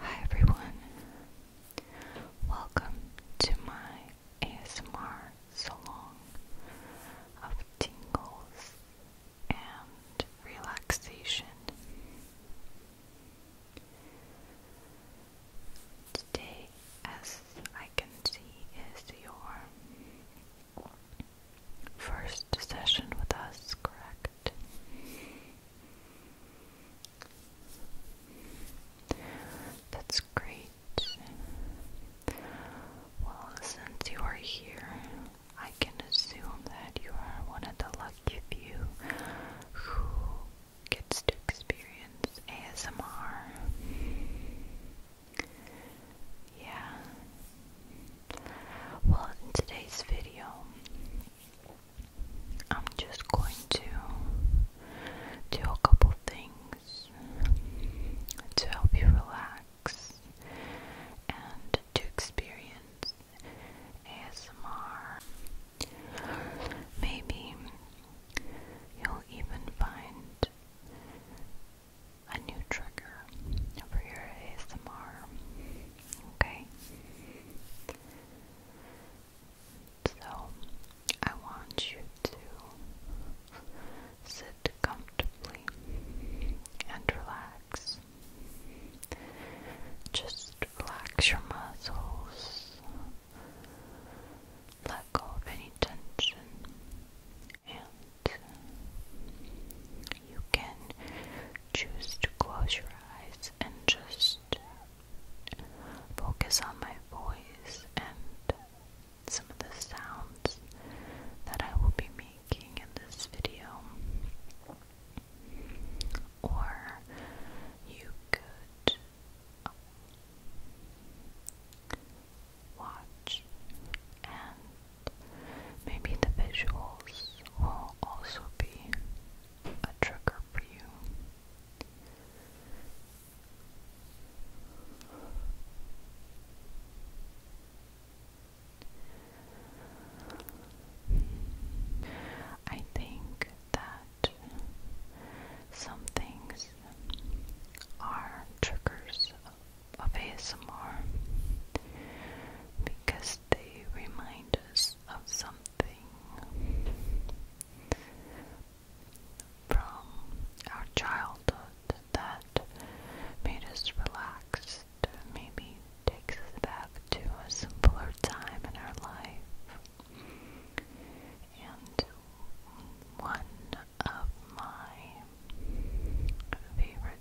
Hi everyone, welcome to my ASMR salon of tingles and relaxation. Today, as I can see, is your first session with us, correct? That's great. Well, since you are here, I can assume that you are one of the lucky few who gets to experience ASMR. Yeah, well, in today's video, I'm just going to do a couple things to help you relax and to experience ASMR. Maybe you'll even find a new trigger for your ASMR. Okay? So, I want you to sit comfortably and relax. Just relax your muscles. Let go of any tension and you can choose to close your eyes and just focus on my voice and some of the sounds that I will be making in this video. Or you could watch, and maybe the visuals will also be a trigger for you. I think that some things are triggers of ASMR because they remind us of something from our childhood that made us relaxed, maybe takes us back to a simpler time in our life. And one of my favorite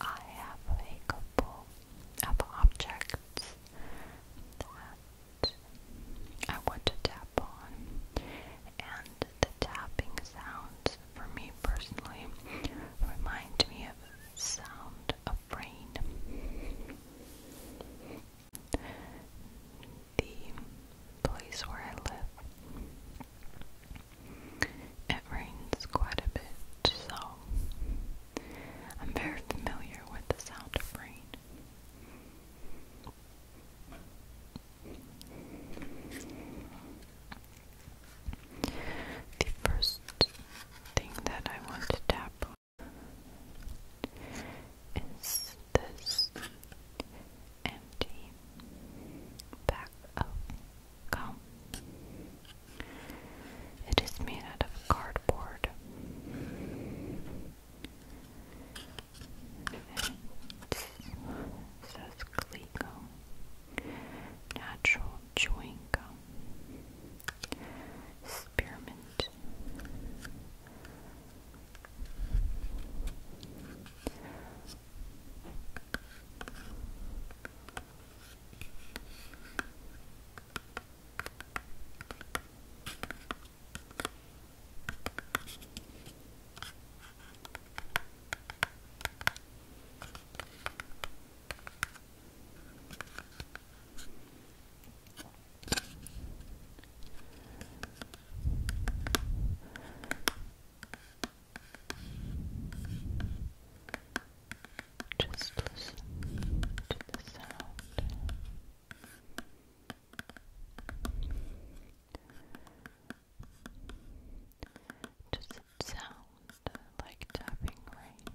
I have a couple of objects I want to tap on. And the tapping sounds, for me personally, remind me of sound of rain. The place where I live, it rains quite a bit, so I'm very familiar with the sound of rain. The first thing that I want to tap on is this empty bag of It is made out of cardboard. It says Natural chewing gum. Spearmint. Just listen to the sound. Does it sound like tapping rain?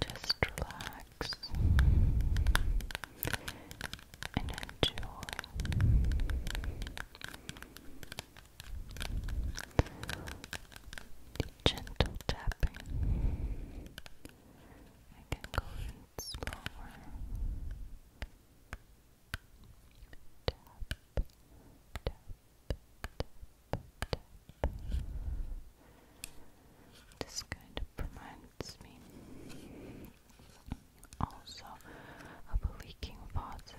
Just relax and enjoy. Gentle tapping. I can go in slower tap, tap, This kind of reminds me also of a leaking faucet.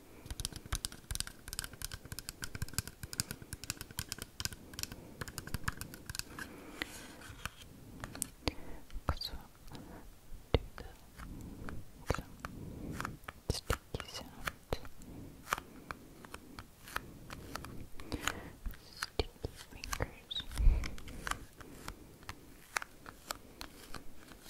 Också duga. Sticky fingers.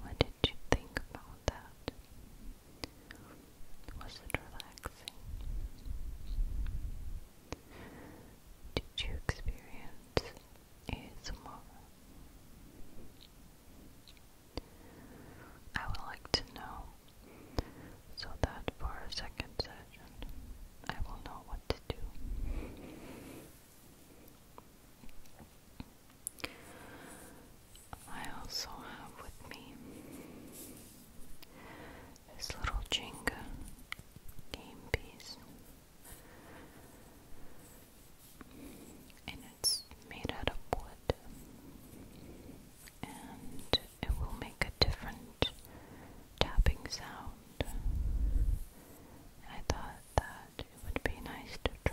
What did you think about that? Was it relaxing? Did you experience ASMR. I would like to know so that for a second session I will know what to do. I also have with me this little Jenga game piece and it's made out of wood, and it will make a different tapping sound. I thought that it would be nice to try.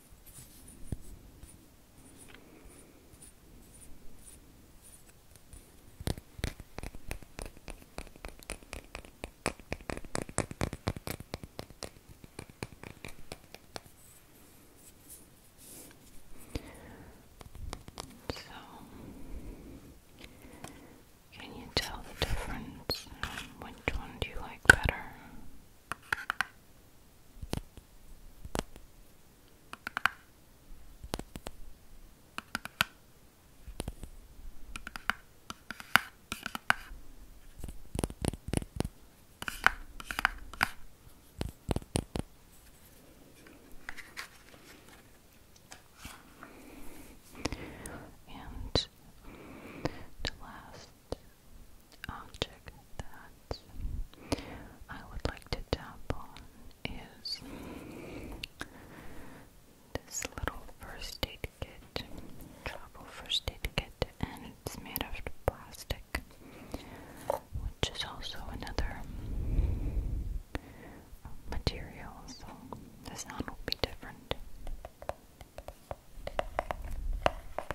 So, can you tell the difference? Which one do you like better? And the last object that I would like to tap on is this little first aid kit, travel first aid kit, and it's made out of plastic, which is also another material, so the sound will be different.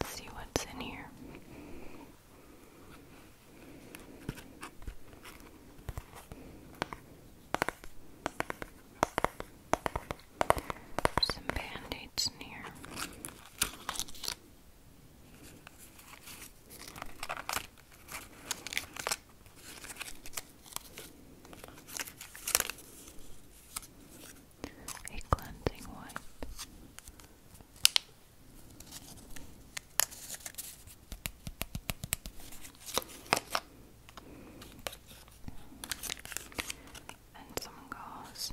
Let's see what's in here. Some band-aids in here a cleansing wipe. And some gauze.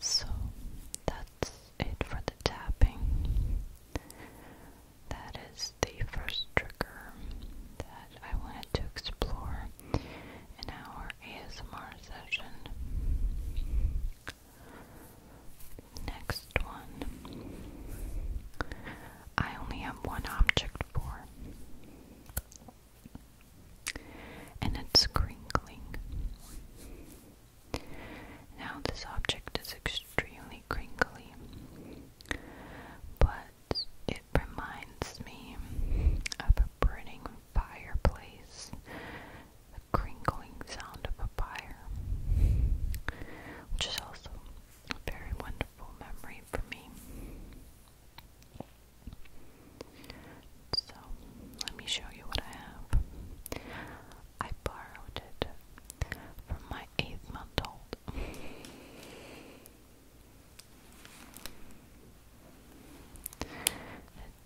So that's it for the tapping. That is the first trigger that I wanted to explore in our ASMR session. Next one. I only have one object for and it's crinkling. Now, this object is extremely crinkly, but it reminds me of a burning fireplace, the crinkling sound of a fire, which is also a very wonderful memory for me. So, let me show you what I have. I borrowed it from my eighth month old.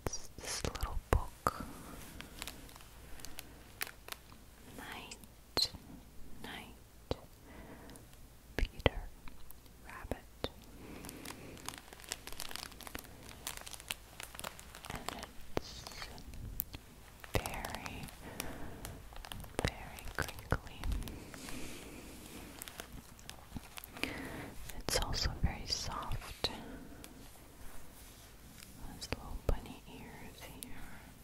It's this little book. Night, night, Peter Rabbit. And it's very, very crinkly. It's also very soft. Those little bunny ears here.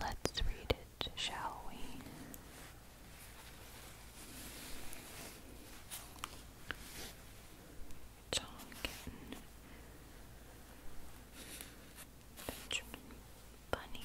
Let's read it, shall we? John Kitten, Benjamin Bunny.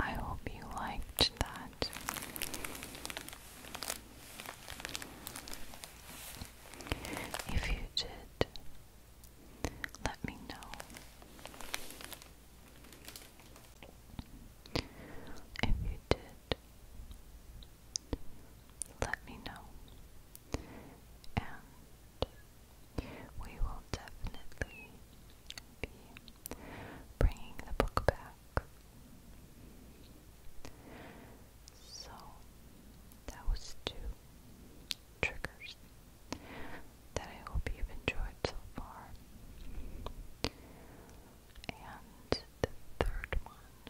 I hope you liked that. If you did, let me know. If you did, let me know. And we will definitely be bringing the book back. So, that was two triggers that I hope you've enjoyed so far. And the third one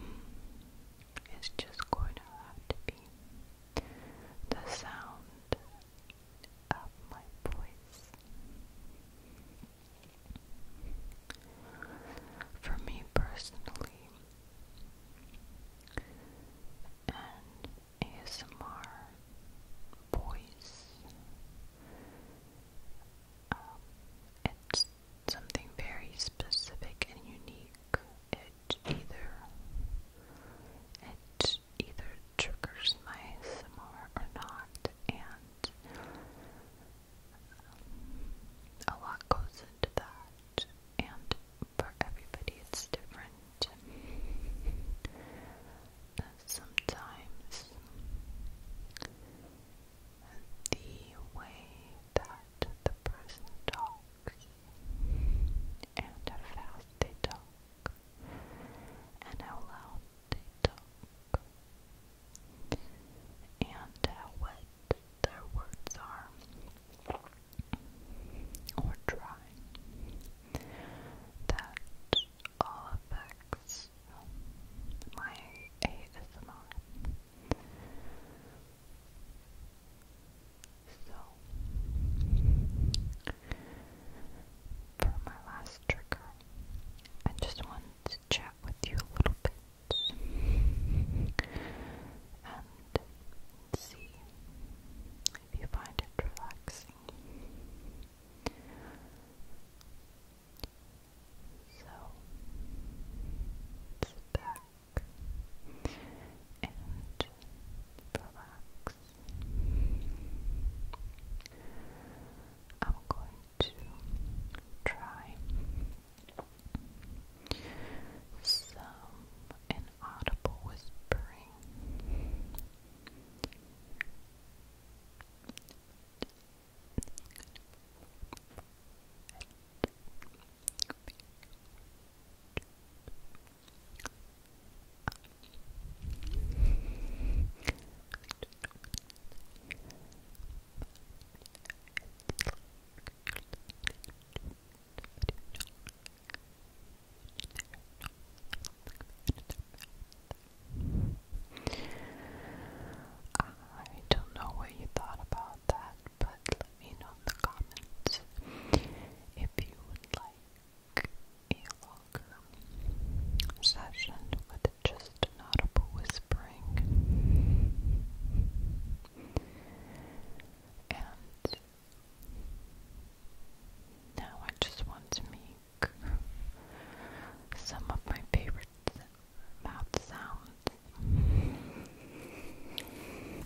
hmm, is just going to have to be the sound of my voice. For me personally, and ASMR voice. Um, it's something very specific and unique it either it either triggers my SMR or not and um, a lot goes into that and for everybody it's different. Sometimes the way that the person talks and how fast they talk and how loud they talk and how wet their words are or dry. That all affects my ASMR. So, for my last trigger, I just want to chat with you a little bit and see if you find it relaxing. So, sit back, and relax. I'm going to try some inaudible whispering. I don't know what you thought about that, but me know in if you would like a longer session with just an whispering. And now I just want to make some of my favorite mouth sounds.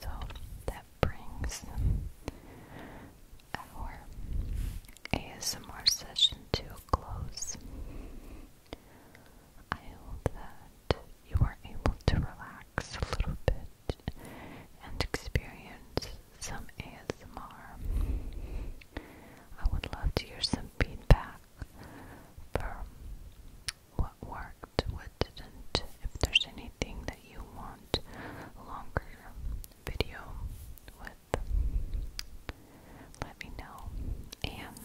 So that brings our ASMR session to close. I hope that you are able to relax a little bit and experience some ASMR. I would love to hear some feedback from what worked, what didn't, if there's anything that you want longer video let me know. And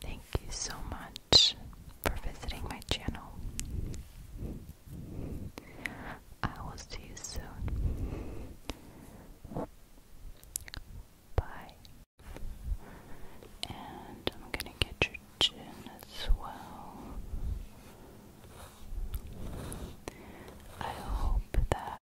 thank you so much for visiting my channel. I will see you soon. Bye. And I'm gonna get your chin as well. I hope that